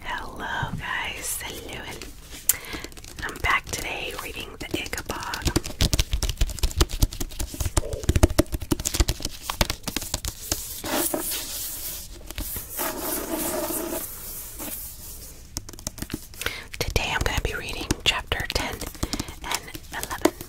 Hello, guys. Hello. I'm back today reading the Ichabod. Today I'm going to be reading chapter 10 and 11.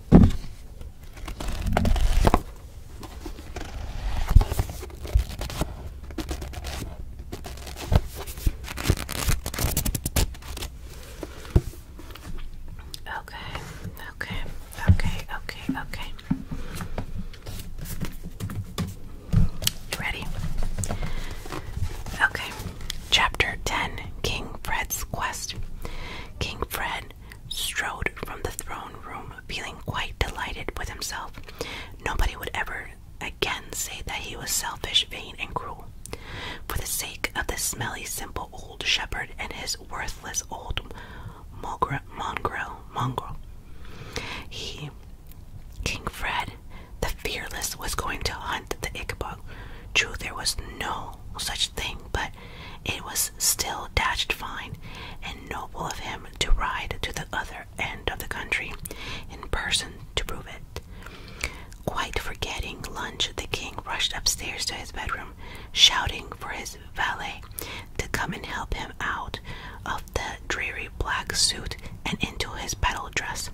Okay, okay, okay, okay, okay. You ready? Okay. Chapter 10 King Fred's Quest. King Fred strode from the throne room, feeling quite delighted with himself. Nobody would ever again say that he was selfish, vain, and cruel. For the sake of the smelly, simple old shepherd and his worthless old mongrel, mongrel, he, King Fred, the fearless, was going to hunt the Ichabod. True, there was no such thing, but it was still dashed fine and noble of him to ride to the other end of the country in person to prove it. Quite forgetting lunch, the king rushed upstairs to his bedroom, shouting for his valet to come and help him out of the dreary black suit and into his battle dress,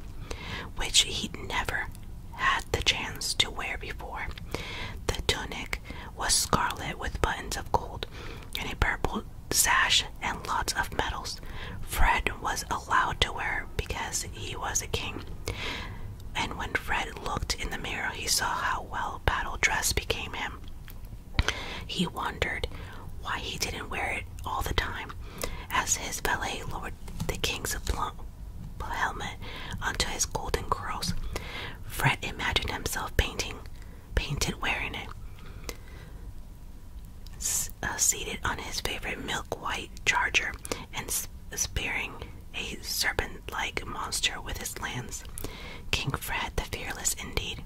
which he would never had the chance to wear before. The tunic was scarlet with buttons of gold and a purple sash and lots of medals. Fred was allowed to wear because he was a king. And when Fred looked in the mirror, he saw how well battle dress became him. He wondered why he didn't wear it all the time. As his valet Lord the king's helmet onto his golden curls. Fred imagined himself painting, painted wearing it. Uh, seated on his favorite milk white charger and spearing a serpent like monster with his lance. King Fred the Fearless, indeed.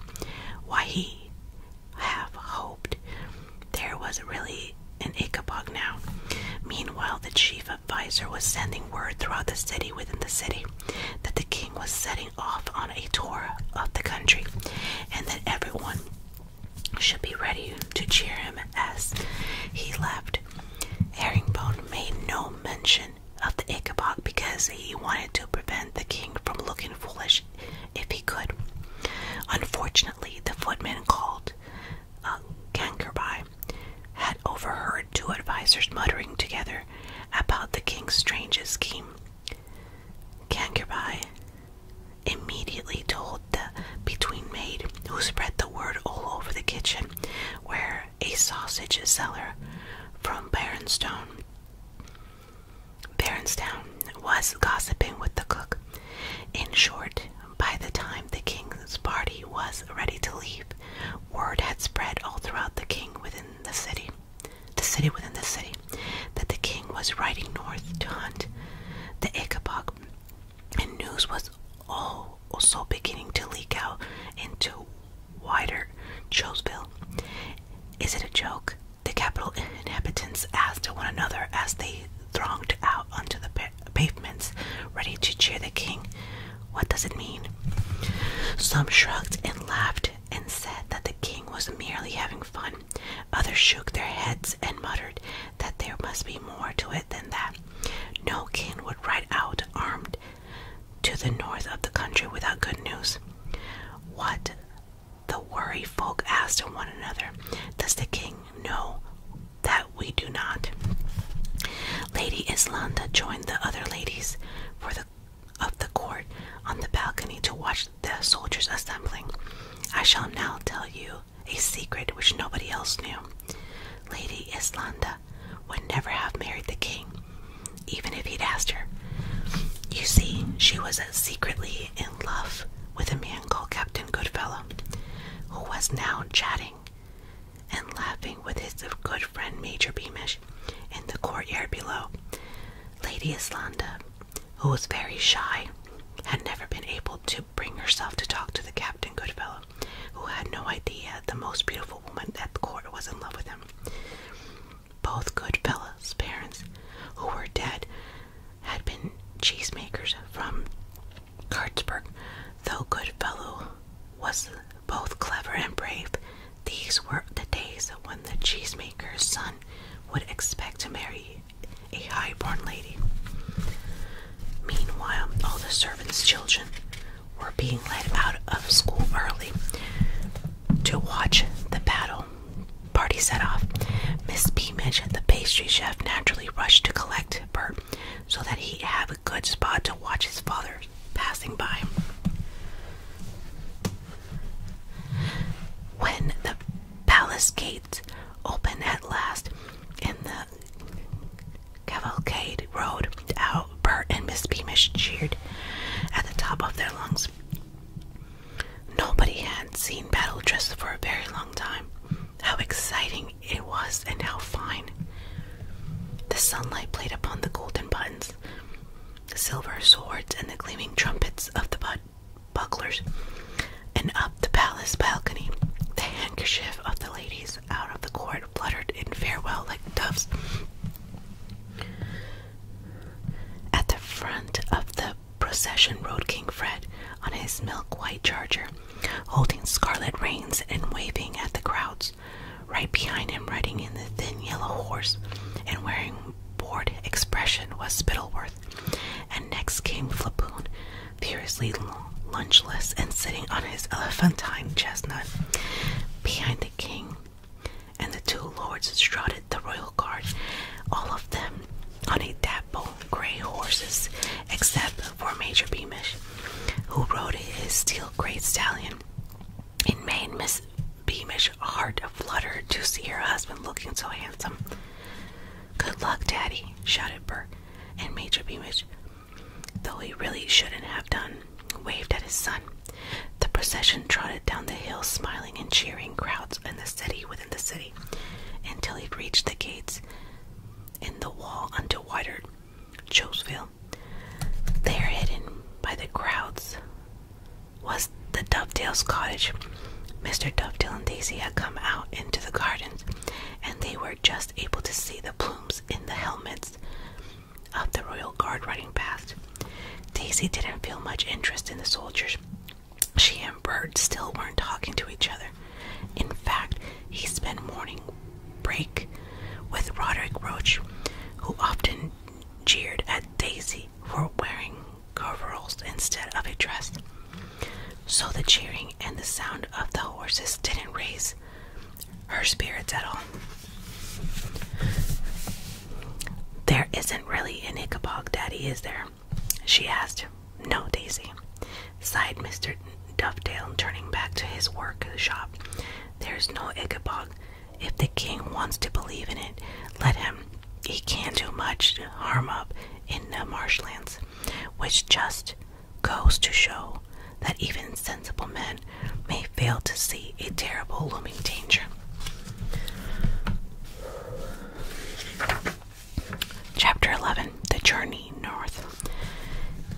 Why he have hoped there was really an Ichabod now. Meanwhile, the chief of adviser was sending word throughout the city within the city that the king was setting off on a tour of the country and that everyone should be ready to cheer him as he left. Herringbone made no mention of the Ichabod because he wanted to prevent the king from looking foolish if he could. Unfortunately, the footman called uh, um, Kankerby had overheard two advisers muttering together about the king's strange scheme. Kankerby immediately told the between maid, who spread the word all over the kitchen, where a sausage seller from Baronstone Baronstown was gossiping with the cook. In short, by the time the king's party was ready to leave, word had spread all throughout the king within the city, the city within the city, that the king was riding north to hunt the Ichabod, and news was also beginning to leak out into wider Choseville. Is it a joke? The capital inhabitants asked one another as they thronged out onto the pavements, ready to cheer the king. What does it mean? Some shrugged and laughed and said that the king was merely having fun. Others shook their heads and muttered that there must be more to it than that. No king would ride out armed to the north of the country without good news. What the worried folk asked of one another. Does the king know that we do not. Lady Islanda joined the other ladies for the of the court on the balcony to watch the soldiers assembling. I shall now tell you a secret which nobody else knew. Lady Islanda would never have married the king, even if he'd asked her. You see, she was secretly in love with a man called Captain Goodfellow, who was now chatting and laughing with his good friend Major Beamish in the courtyard below. Lady Islanda, who was very shy, had never been able to bring herself to talk to the Captain Goodfellow, who had no idea the most beautiful woman at the court was in love with him. Both Goodfellow's parents, who were dead, had been cheesemakers from Cardsburg, though Goodfellow was both clever and brave, these were the days when the cheesemaker's son would expect to marry a high-born lady. Meanwhile, all the servants' children were being led out of school early to watch the battle. Party set off. Miss Beamish, the pastry chef, naturally rushed to collect Bert so that he'd have a good spot to watch his fathers passing by. When the palace gates opened at last and the cavalcade rode out, Bert and Miss Beamish cheered at the top of their lungs. Nobody had seen battle dress for a very long time. How exciting it was and how fine. The sunlight played upon the golden buttons, the silver swords, and the gleaming trumpets of the bucklers, and up the palace balcony, the handkerchief of the ladies out of the court fluttered in farewell like doves. At the front of the procession rode King Fred on his milk white charger, holding scarlet reins and waving at the crowds right behind him, riding in the thin yellow horse and wearing bored expression, was Spittleworth, and next came Flapoon, furiously lunchless and sitting on his elephantine chestnut. Behind the king and the two lords strutted the royal guard, all of them on a dapple gray horses, except for Major Beamish, who rode his steel grey stallion it made Miss Beamish's heart flutter to see her husband looking so handsome. Good luck, Daddy, shouted Bert, and Major Beamish, though he really shouldn't have done, waved at his son. The procession trotted down the hill, smiling and cheering crowds in the city within the city, until it reached the gates in the wall unto wider Choseville. There, hidden by the crowds, was the Dovetails cottage. Mr. Dovedale and Daisy had come out into the gardens, and they were just able to see the plumes in the helmets of the royal guard riding past. Daisy didn't feel much interest in the soldiers. She and Bert still weren't talking to each other. In fact, he spent morning break with Roderick Roach, who often jeered at Daisy for wearing coveralls instead of a dress. So the cheering and the sound of the horses didn't raise her spirits at all. There isn't really an Ichabod Daddy, is there? she asked. No, Daisy, sighed Mr. Dovetail, turning back to his work shop there is no Ichabod. If the king wants to believe in it, let him. He can't do much harm up in the marshlands, which just goes to show that even sensible men may fail to see a terrible looming danger. Chapter 11 The Journey North.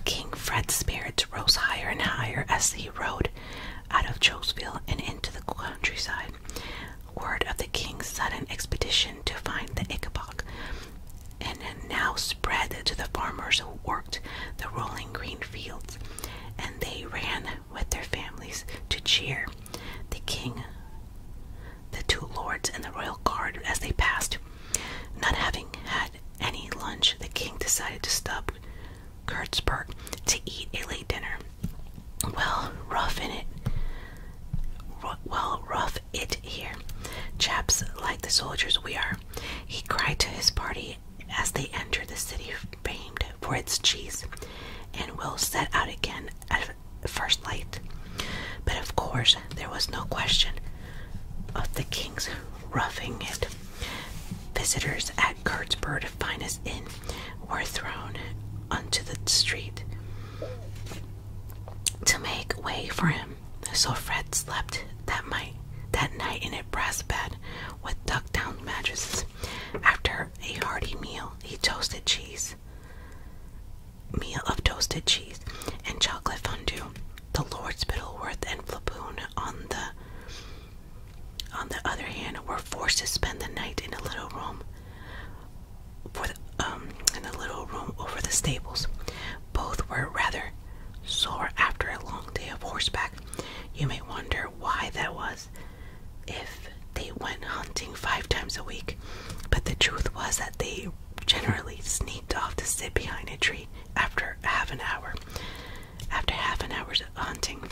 King Fred's spirits rose higher and higher as he rode out of Jokesville and into the countryside. Word of the king's sudden expedition to find the Ichabod and now spread to the farmers who worked the rolling green fields, and they ran with their families to cheer the king, the two lords, and the royal guard as they passed. Not having had any lunch, the king decided to stop Kurtzberg to eat a late dinner. Well, roughing it. well, rough it here. Chaps like the soldiers we are, he cried to his party as they entered the city famed for its cheese, and will set out again at first light. But of course, there was no question of the king's roughing it. Visitors at Cardsburg's finest inn were thrown onto the street to make way for him. So Fred slept that night, in a brass bed with duck-down mattresses. After a hearty meal, he toasted cheese, meal of toasted cheese and chocolate fondue. The Lords Biddleworth and Flaboon on the on the other hand, were forced to spend the night in a little room um, in a little room over the stables. Both were rather sore after a long day of horseback. You may wonder why that was if they went hunting five times a week, but the truth was that they generally sneaked off to sit behind a tree after half an hour. After half an hour's hunting,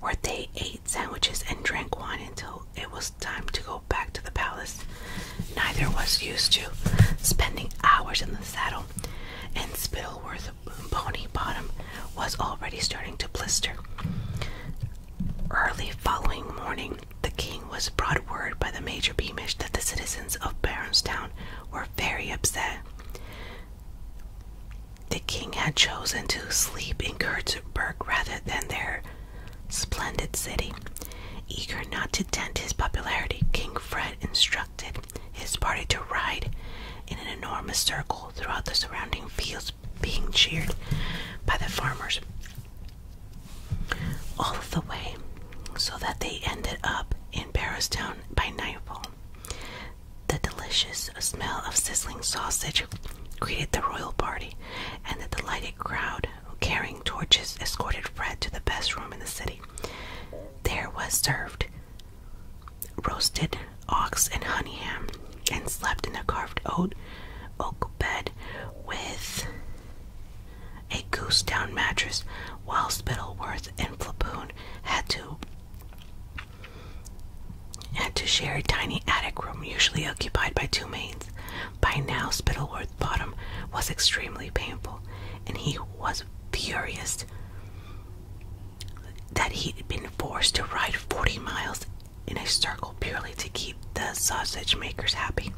where they ate sandwiches and drank wine until it was time to go back to the palace. Neither was used to spending hours in the saddle, and Spittleworth Pony Bottom was already starting to blister. Early following morning, the king was brought word by the Major Beamish that the citizens of Barnstown were very upset. The king had chosen to sleep in Kurtzberg rather than their splendid city. Eager not to dent his popularity, King Fred instructed his party to ride in an enormous circle throughout the surrounding fields, being cheered by the farmers all the way, so that they ended up in Paris by nightfall. The delicious smell of sizzling sausage greeted the royal party, and the delighted crowd, carrying torches, escorted Fred to the best room in the city. There was served roasted ox and honey ham, and slept in a carved oak bed with a goose down mattress, while Spittleworth and Flapoon had to had to share a tiny attic room usually occupied by two maids. By now, Spittleworth Bottom was extremely painful, and he was furious that he'd been forced to ride 40 miles in a circle purely to keep the sausage makers happy.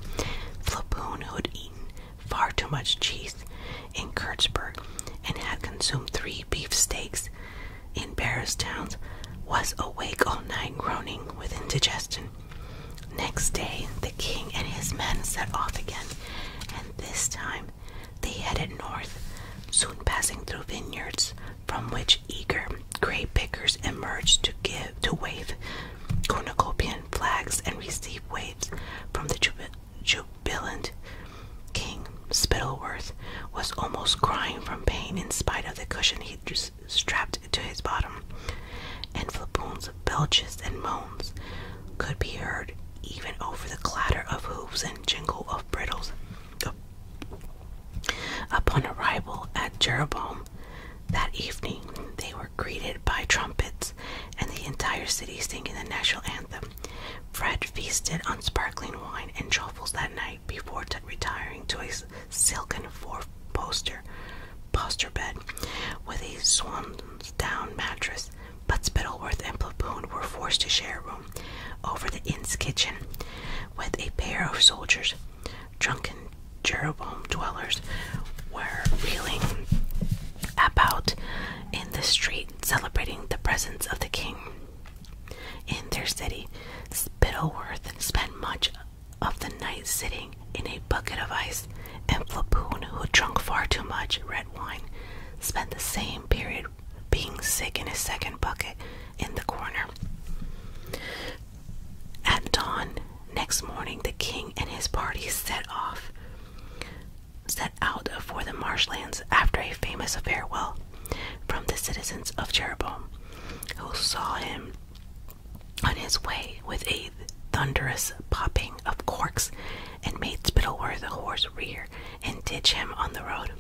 Flapoon, who had eaten far too much cheese, in Kirchberg and had consumed three beef steaks in Barrowstown, was awake all night groaning with indigestion. Next day, the king and his men set off again, and this time they headed north, soon passing through vineyards from which eager grape pickers emerged to give to wave cornucopian flags and receive waves from the jubilant jubilant King Spittleworth was almost crying from pain in spite of the cushion he strapped to his bottom, and Flapoon's belches and moans could be heard even over the clatter of hooves and jingle of bridles. Upon arrival at Jeroboam that evening, they were greeted by trumpets and the entire city singing the national anthem. Fred feasted on sparkling wine and truffles that night before retiring to a silken four-poster bed with a swan's-down mattress. But Spittleworth and Platoon were forced to share a room over the inn's kitchen with a pair of soldiers. Drunken Jeroboam dwellers were wheeling about in the street, celebrating the presence of the king in their city. Spittleworth spent much of the night sitting in a bucket of ice, and Flapoon, who drunk far too much red wine, spent the same period being sick in a second bucket in the corner. At dawn next morning, the king and his party set off set out for the marshlands after a famous farewell from the citizens of Jeroboam, who saw him on his way with a thunderous popping of corks and made Spittleworth a horse rear and ditch him on the road.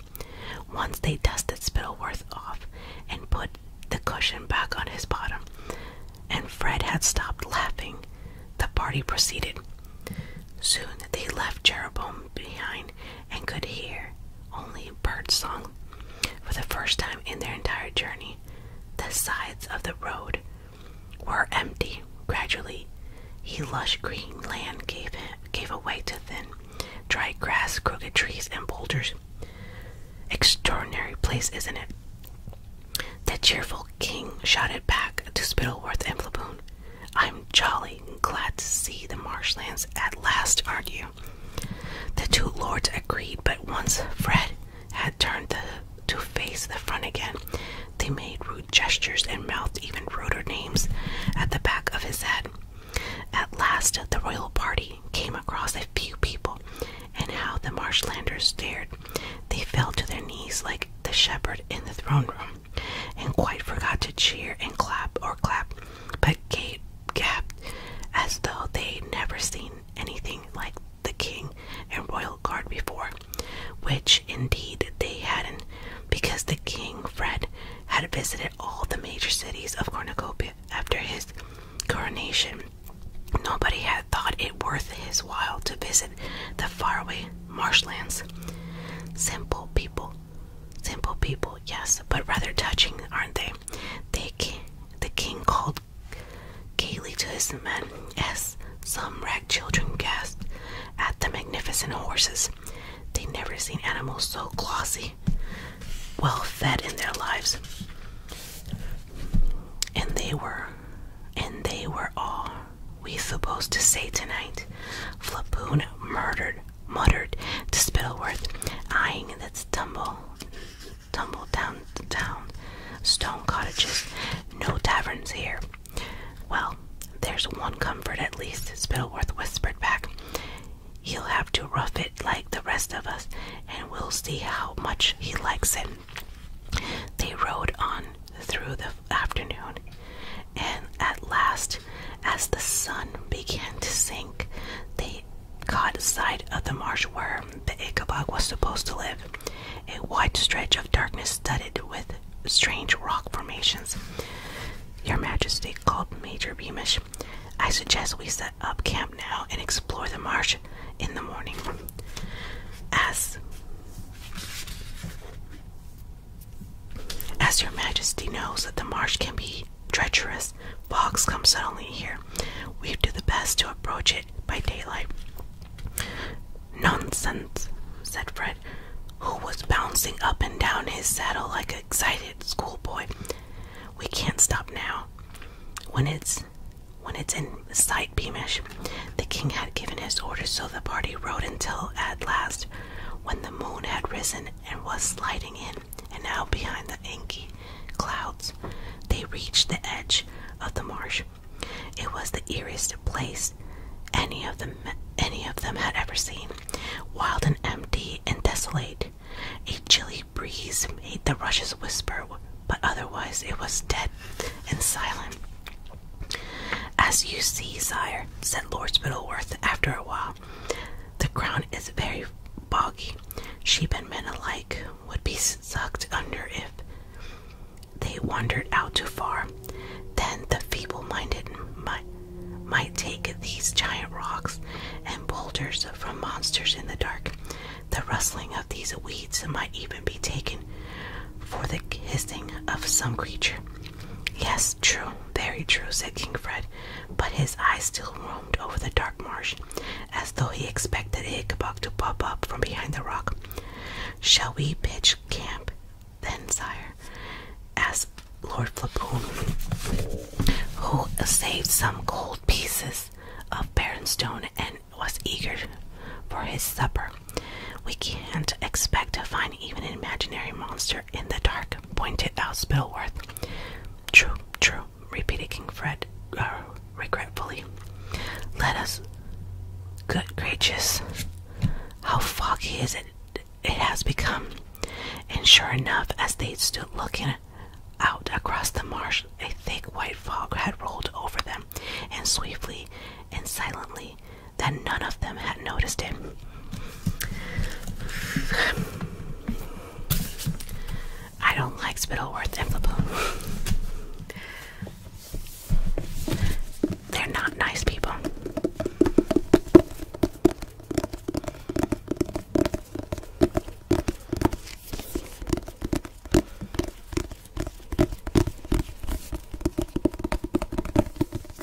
Once they dusted Spittleworth off and put the cushion back on his bottom, and Fred had stopped laughing, the party proceeded. Soon they left Jeroboam behind and could hear only bird song for the first time in their entire journey. The sides of the road were empty. Gradually, he lush green land gave him, gave away to thin, dry grass, crooked trees, and boulders. Extraordinary place, isn't it? The cheerful king shouted back to Spittleworth and Flaboon. I'm jolly glad to see the marshlands at last, aren't you? The two lords agreed, but once Fred had turned to face the front again, they made rude gestures and mouthed even ruder names at the back of his head. At last, the royal party came across a few people, and how the marshlanders stared. They fell to their knees like the shepherd in the throne room and quite forgot to cheer and clap or clap, but Kate gasped as though they'd never seen anything like the king and royal guard before, which indeed they hadn't, because the king, Fred, had visited all the major cities of Cornucopia after his coronation. Nobody had thought it worth his while to visit the faraway marshlands. Simple people simple people, yes, but rather touching, aren't they? the king called gaily to his men as some rag children gasped at the magnificent horses. They'd never seen animals so glossy, well fed in their lives, and they were, and they were all we supposed to say tonight. Flapoon murdered muttered to Spittleworth, eyeing that tumble, tumble down to town, stone cottages, no taverns here. Well, there's one comfort at least, Spittleworth whispered back. He'll have to rough it like the rest of us, and we'll see how much he likes it. They rode on through the afternoon and at last, as the sun began to sink, they caught sight of the marsh where the Ichabod was supposed to live, a wide stretch of darkness studded with strange rock formations. Your Majesty called Major Beamish. I suggest we set up camp now and explore the marsh in the morning. As as your majesty knows that the marsh can be treacherous, Fox comes suddenly here. We do the best to approach it by daylight. Nonsense, said Fred, who was bouncing up and down his saddle like an excited schoolboy. We can't stop now. When it's when it's in sight, Beamish, the king had given his orders, so the party rode until at last, when the moon had risen and was sliding in and out behind the inky clouds. They reached the edge of the marsh. It was the eeriest place any of them any of them had ever seen. Wild and empty and desolate. A chilly breeze made the rushes whisper, but otherwise it was dead and silent. As you see, sire, said Lord Spittleworth after a while, the ground is very boggy. Sheep and men alike would be sucked under if they wandered out too far. Then the feeble minded might, take these giant rocks and boulders from monsters in the dark. The rustling of these weeds might even be taken for the hissing of some creature Yes, true, very true, said King Fred, but his eyes still roamed over the dark marsh, as though he expected Ichabod to pop up from behind the rock. Shall we pitch camp, then, sire? asked Lord Flapoon, who saved some gold pieces of barren stone and was eager for his supper. We can't expect to find even an imaginary monster in the dark, Jack pointed out Spillworth. True, true, repeated King Fred uh, regretfully. Let us. Good gracious, how foggy is it? It has become. And sure enough, as they stood looking out across the marsh, a thick white fog had rolled over them, and swiftly and silently, that none of them had noticed it. I don't like Spittleworth and Flapoon. They're not nice people.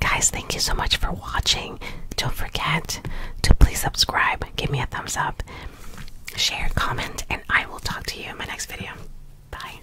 Guys, thank you so much for watching. Don't forget to please subscribe, give me a thumbs up, share, comment, and I will talk to you in my next video. Bye.